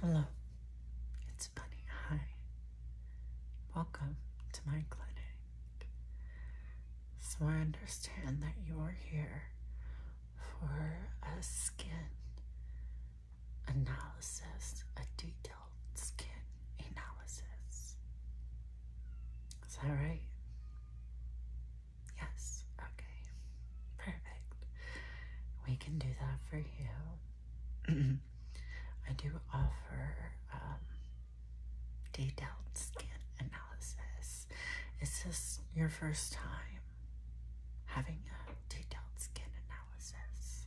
Hello, it's Bunny. Hi. Welcome to my clinic. So, I understand that you are here for a skin analysis, a detailed skin analysis. Is that right? Yes, okay. Perfect. We can do that for you. Mm-hmm. I do offer um, detailed skin analysis. Is this your first time having a detailed skin analysis?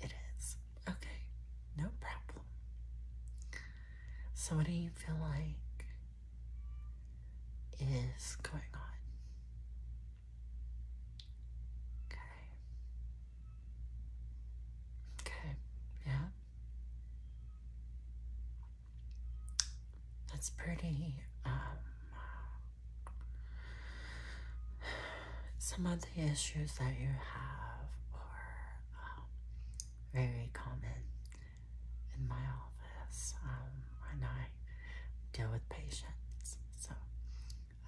It is. Okay, no problem. So, what do you feel like is going on. Okay. Okay, yeah. That's pretty, um, some of the issues that you have are um, very common in my office um, and I deal with patients. So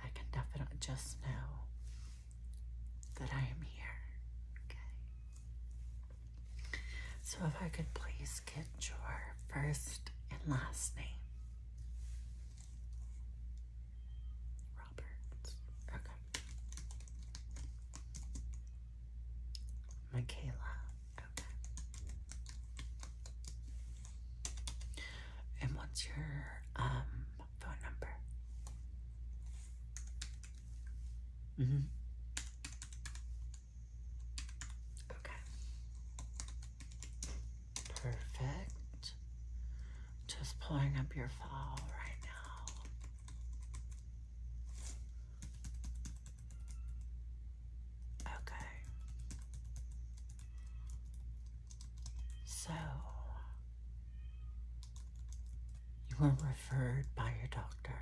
I can definitely just know that I am here. Okay. So if I could please get your first and last name. Roberts. Okay. Michaela. And what's your um phone number? Mm-hmm. Okay. Perfect. Just pulling up your file right now. Okay. So, you were referred by your doctor.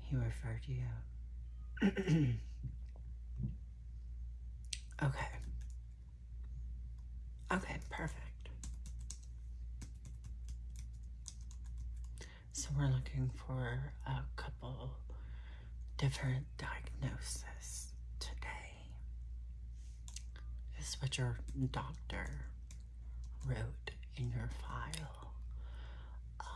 He referred you. okay. Okay, perfect. So we're looking for a couple different diagnoses today. This is what your doctor wrote in your file. Um,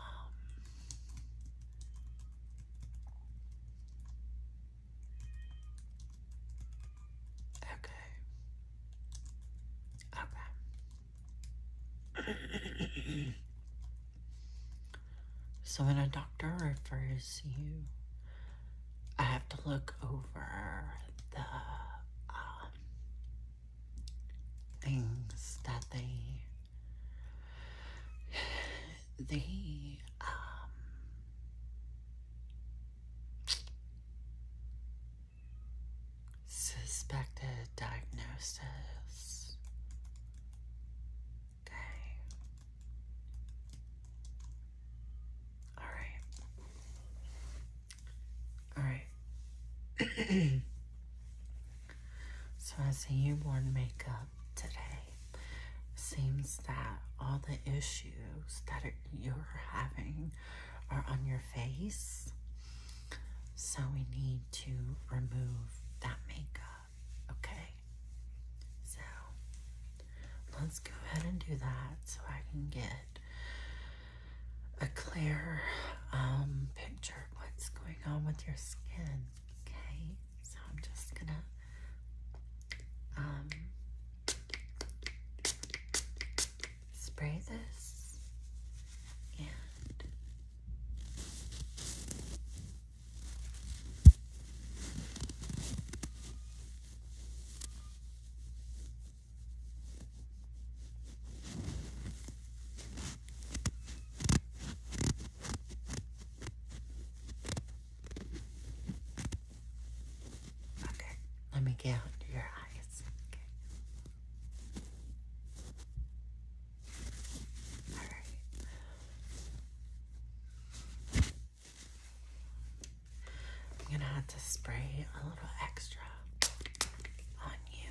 okay. Okay. so when a doctor refers you, I have to look over the um, things that they they um suspected diagnosis. Okay. All right. All right. so I see you wore makeup today. Seems that all the issues that you're having are on your face so we need to remove that makeup, okay? So let's go ahead and do that so I can get a clear um, picture of what's going on with your skin, okay? So I'm just gonna um, spray this and Okay, let me get under your eyes. Okay i right. I'm gonna have to spray a little extra on you.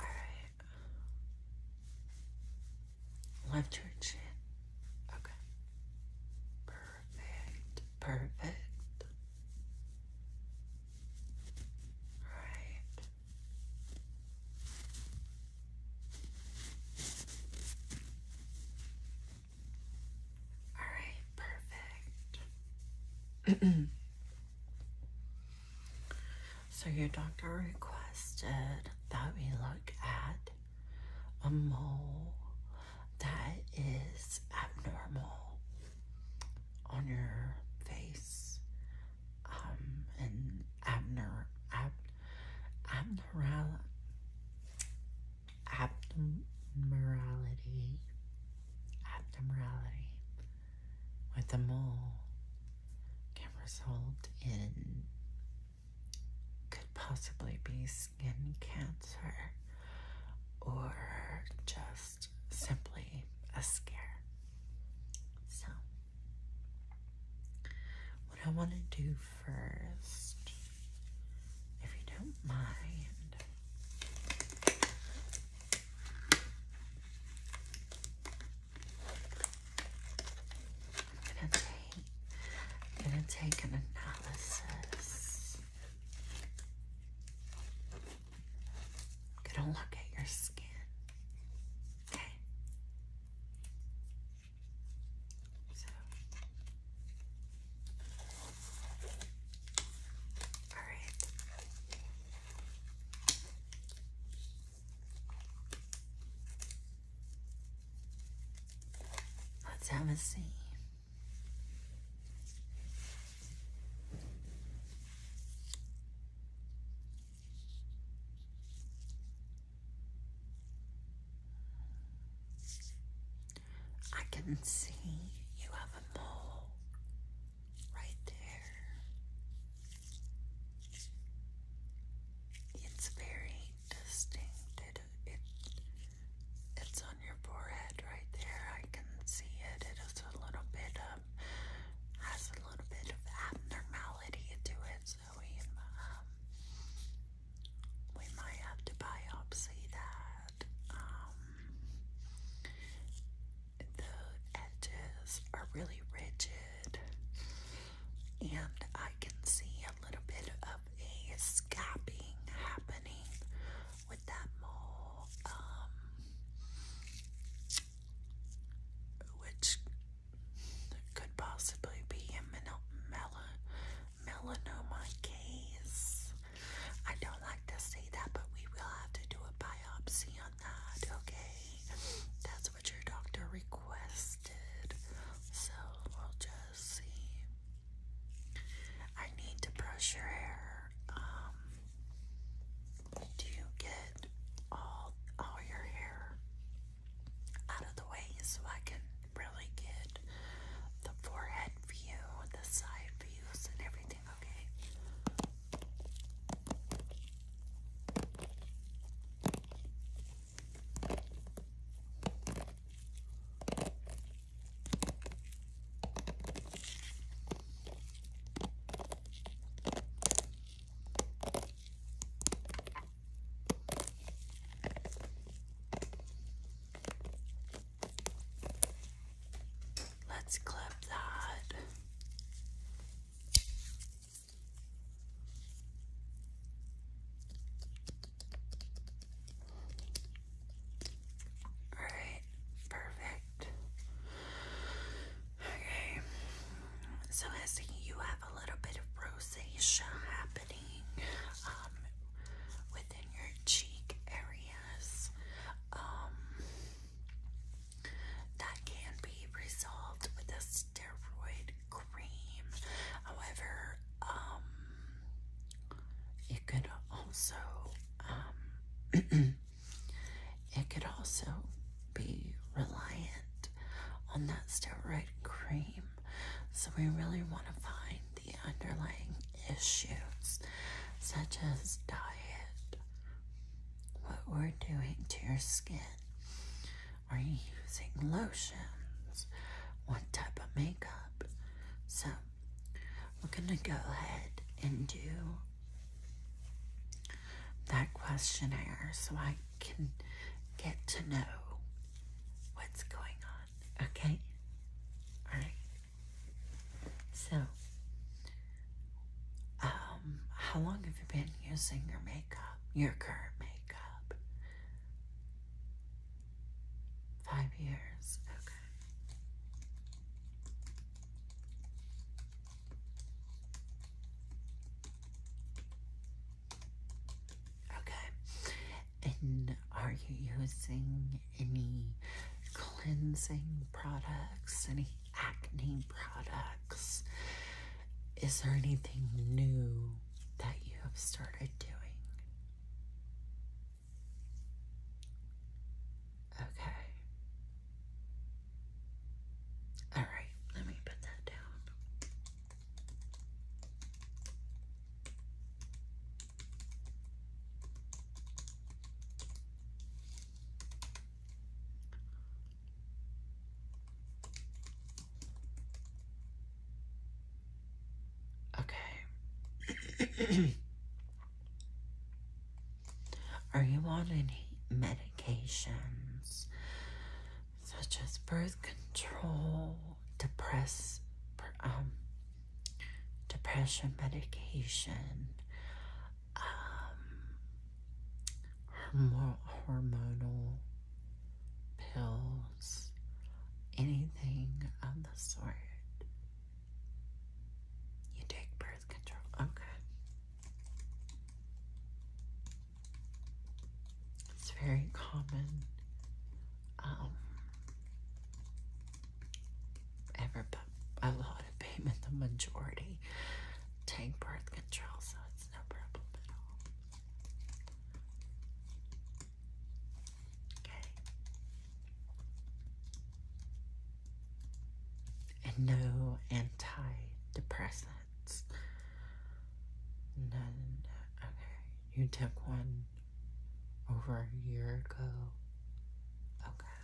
All right. Left your chin. Okay. Perfect, perfect. Right. All right, perfect. so your doctor requested that we look at a mole that is abnormal on your face um, and abner, ab, abnormality, abnormality with a mole can result in could possibly be skin cancer or just simply a scare. So, what I want to do first, if you don't mind, I'm gonna take, gonna take an analysis. gonna look at your skin. Okay. So. All right. Let's have a see. I can see you have a mole right there. It's very distinct. It, it's on your forehead right there. I can see it. It is a little bit um has a little bit of abnormality into it, so we um we might have to biopsy that. Um the edges are really rigid and I can see a little bit of a scabbing happening with that mole, um, which could possibly be a melanoma, case. I don't like to say that, but we will have to do a biopsy on that, okay? what your doctor requested. So we'll just see. I need to brush your hair. Um, do you get all all your hair out of the way so I can really get the forehead view, the side views, and everything? Okay. Let's clip that. All right, perfect. Okay, so I you have a little bit of rosacea happening um, within your cheek areas. Um, that can be resolved with a steroid cream. However, um, it could also, um, it could also be reliant on that steroid cream. So we really want to find the underlying issues, such as diet, what we're doing to your skin, are you using lotions? What type of makeup? So, we're going to go ahead and do that questionnaire so I can get to know what's going on, okay? Alright. So, um, how long have you been using your makeup? your current makeup? Five years, okay. Okay, and are you using any cleansing products, any acne products? Is there anything new that you have started doing? Okay. All right, let me put that down. Okay. Are you on any medications such as birth control, depress, um, depression medication, um, hormonal pills, anything of the sort. You take birth control. Okay. It's very common. Um, ever, but a lot of payment, the majority take birth control, no problem at all. Okay. And no antidepressants. None. Okay. You took one over a year ago. Okay.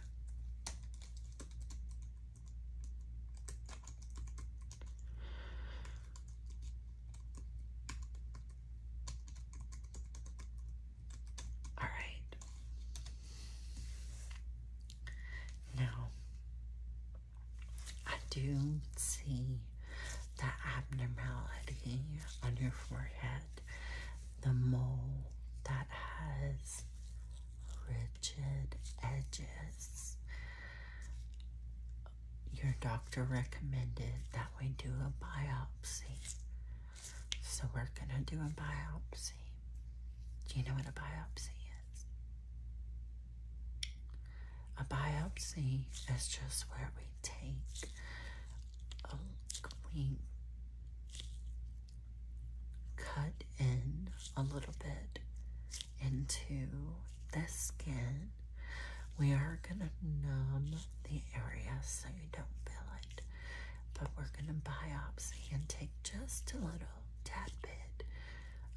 All right. Now, I do see the abnormality on your forehead, the mole that has risen edges. Your doctor recommended that we do a biopsy. So we're going to do a biopsy. Do you know what a biopsy is? A biopsy is just where we take a we cut in a little bit into the skin. We are going to numb the area so you don't feel it, but we're going to biopsy and take just a little tad bit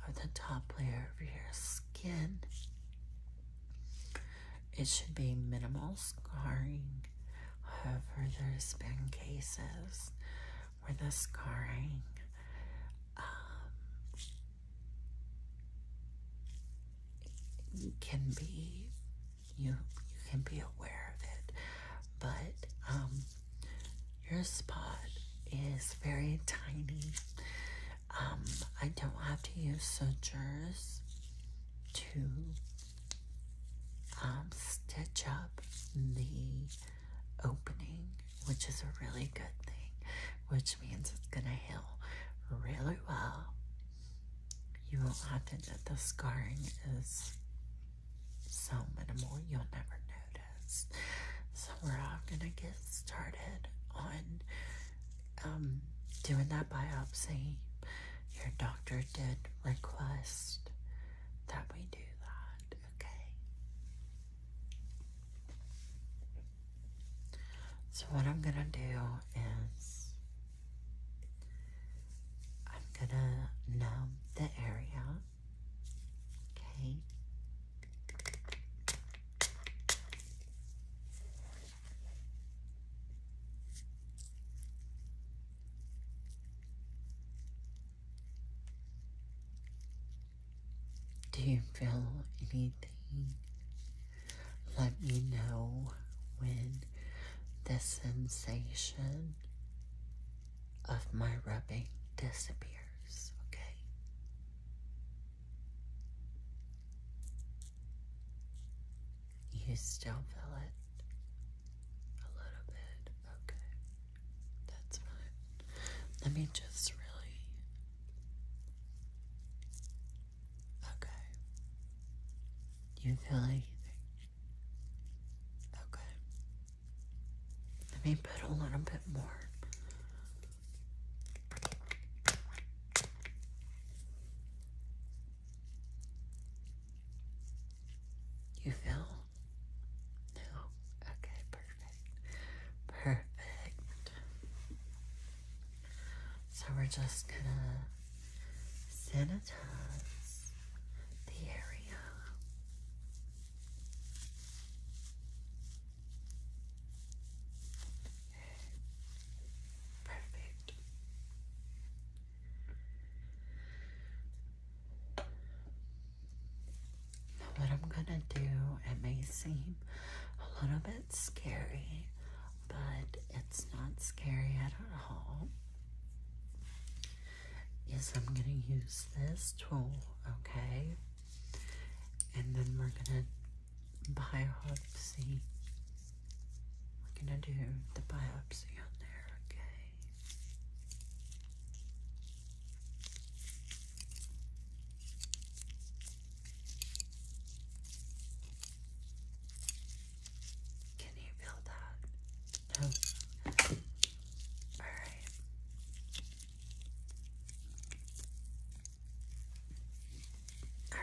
of the top layer of your skin. It should be minimal scarring. However, there's been cases where the scarring um, can be you you can be aware of it but um, your spot is very tiny um, I don't have to use sutures to stitch up the opening, which is a really good thing, which means it's going to heal really well. You won't have to, get the scarring is so minimal, you'll never notice. So, we're all going to get started on um, doing that biopsy. Your doctor did request that we do that, okay? So what I'm going to do is I'm going to numb the area. Okay. Do you feel anything? Let me know when the sensation of my rubbing disappears, okay? You still feel it? A little bit, okay. That's fine. Let me just really. Okay. you feel anything? Okay. Let me put a little bit more. You feel no. Okay, perfect. Perfect. So we're just gonna sanitize the area. Perfect what I'm gonna do, it may seem a little bit scary, but it's not scary at all. Is I'm gonna use this tool, okay? And then we're gonna biopsy. We're gonna do the biopsy on there, okay? Can you feel that? No. All right. All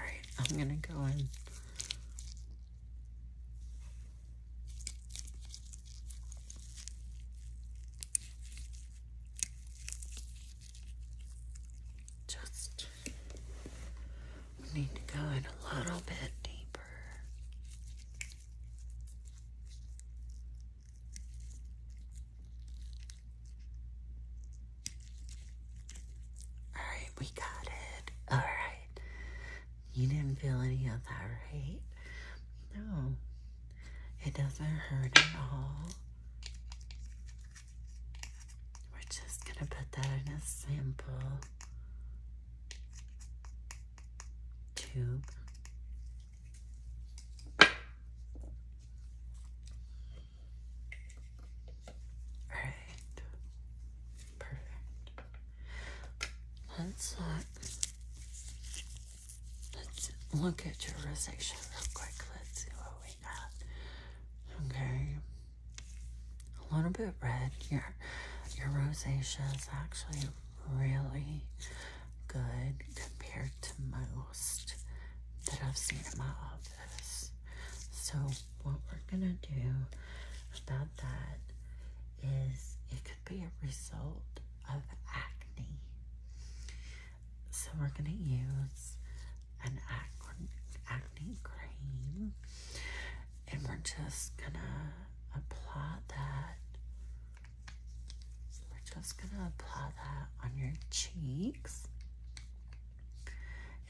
right, I'm going to go in just need to go in a little bit deeper. All right, we got it. All right, you didn't feel any of that, right? No, it doesn't hurt at all. We're just going to put that in a sample tube. All right. Perfect. Let's look. Let's look at your rosacea real quick. Let's see what we got. Okay. A little bit red. Your your rosacea is actually really good compared to most that I've seen in my office. So what we're gonna do about that is it be a result of acne. So we're going to use an acne, acne cream and we're just going to apply that. we're just going to apply that on your cheeks.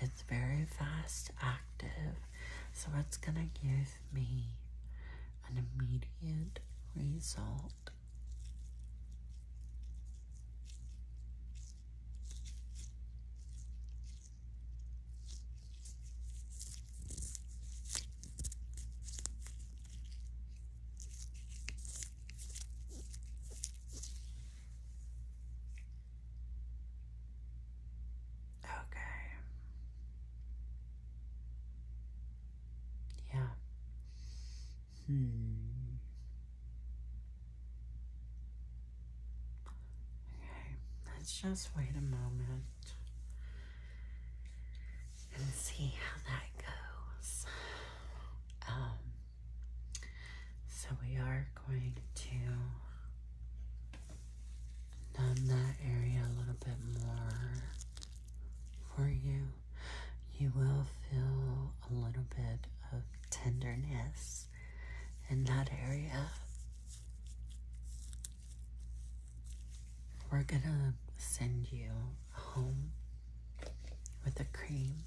It's very fast active, so it's going to give me an immediate result. Okay. Yeah. Hmm. Okay, let's just wait a moment and see how that goes. Um, so we are going to numb that area a little bit more for you. You will feel a little bit of tenderness in that area. We're gonna send you home with a cream.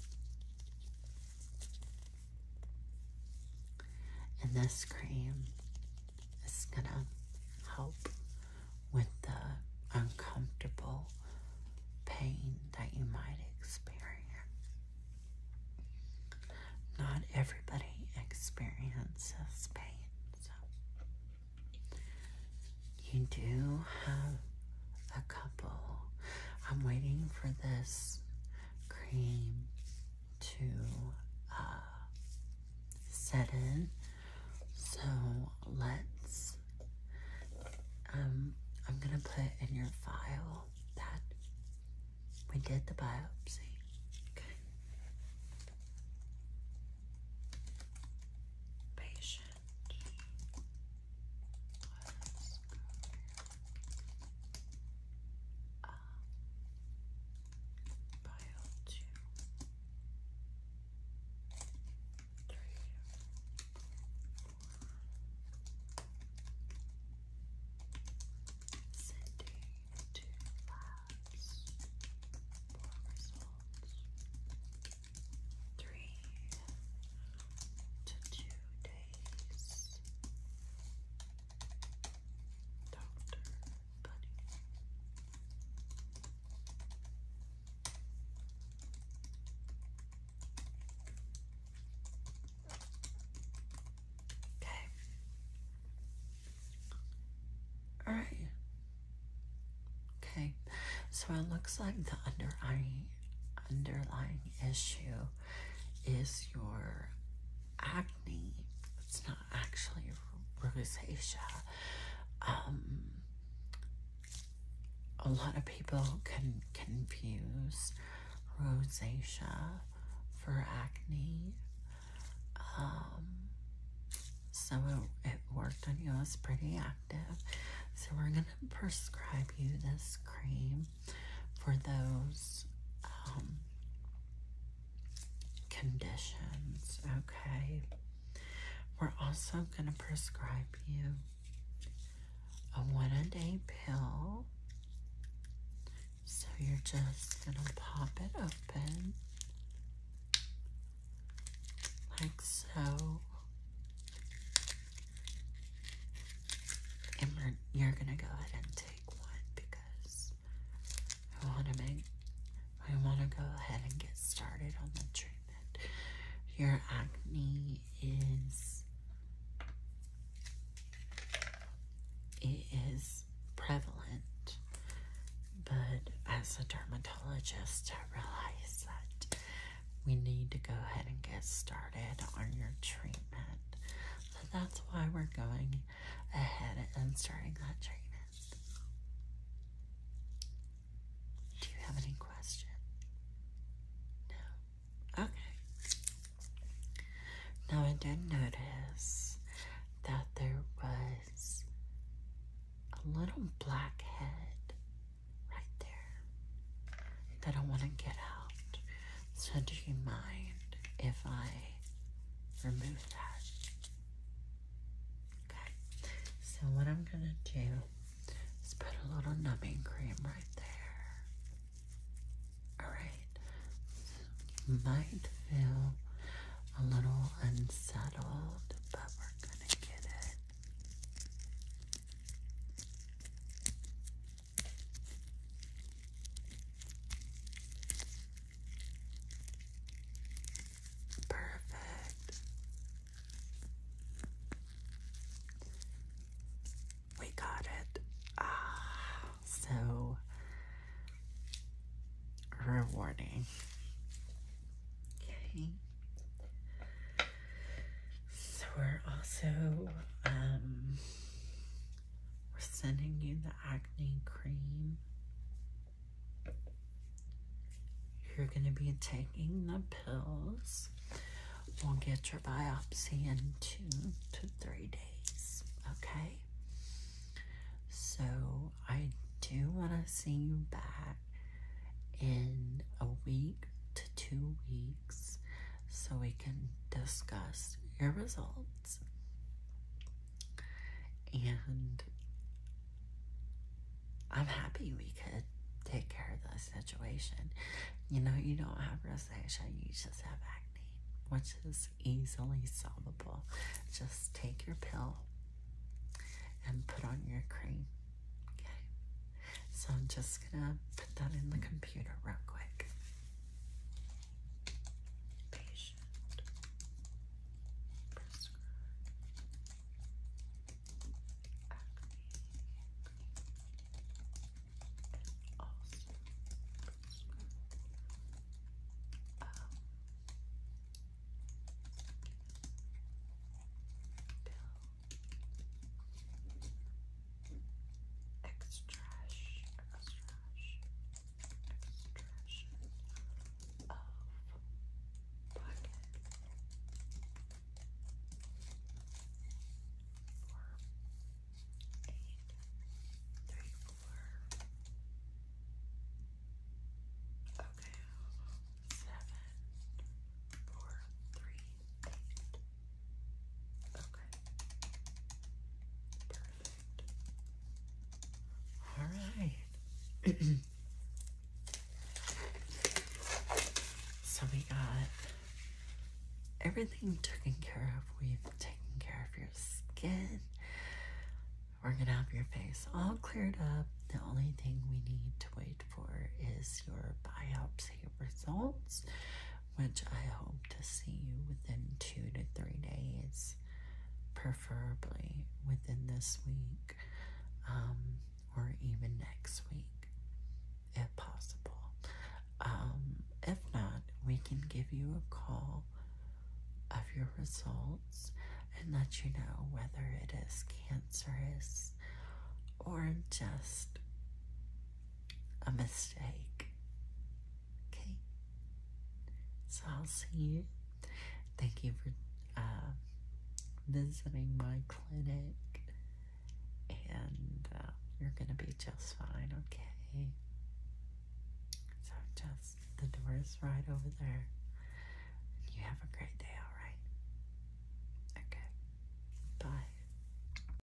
And this cream it's gonna help with the uncomfortable pain that you might experience. Not everybody experiences pain, so you do have a couple. I'm waiting for this cream to uh, set in. So let's, um, I'm going to put in your file that we did the biopsy. Okay. Patient. let pile two, three, four. Sending to labs for results. Three to two days. Okay. All right. Okay. So it looks like the underlying underlying issue is your acne. It's not actually rosacea. Um, a lot of people can confuse rosacea for acne. Um, so it, worked on you. It's pretty active. So we're going to prescribe you this cream for those um, conditions, okay? We're also going to prescribe you a one a day pill. So you're just going to pop it open like so. And you're going to go ahead and take one because I want to make, I want to go ahead and get started on the treatment. Your acne is, it is prevalent. But as a dermatologist, I realize that we need to go ahead and get started on your treatment. that's why we're going ahead and starting that treatment. Do you have any questions? No? Okay. Now, I did notice that there was a little black head right there that I want to get out. So do you mind if I remove that? Okay. So what I'm gonna do is put a little numbing cream right there. Alright. might feel a little unsettled, but we're gonna get it. Perfect. We got it. Ah, so rewarding. Okay. So we're also um we're sending you the acne cream. You're going to be taking the pills. We'll get your biopsy in two to three days, okay? So I do want to see you back in a week to two weeks so we can discuss your results and I'm happy we could take care of the situation. You know, you don't have rosacea, you just have acne, which is easily solvable. Just take your pill and put on your cream. Okay. So I'm just gonna put that in the computer real quick patient, prescribe, acne, also Pill extraction, extraction, extraction of bucket four, eight, three, four. Okay, seven, four, three, eight, Okay. Perfect. All right. so we got everything taken care of. We've taken care of your skin. We're gonna have your face all cleared up. The only thing we need to wait for is your biopsy results, which I hope to see you within two to three days, preferably within this week um, or even next week, if possible. Um, if not, we can give you a call of your results and let you know whether it is cancerous or just a mistake. Okay? So I'll see you. Thank you for uh, visiting my clinic. And uh, you're going to be just fine, okay? So just, the door is right over there. You have a great day, alright? Okay. Bye.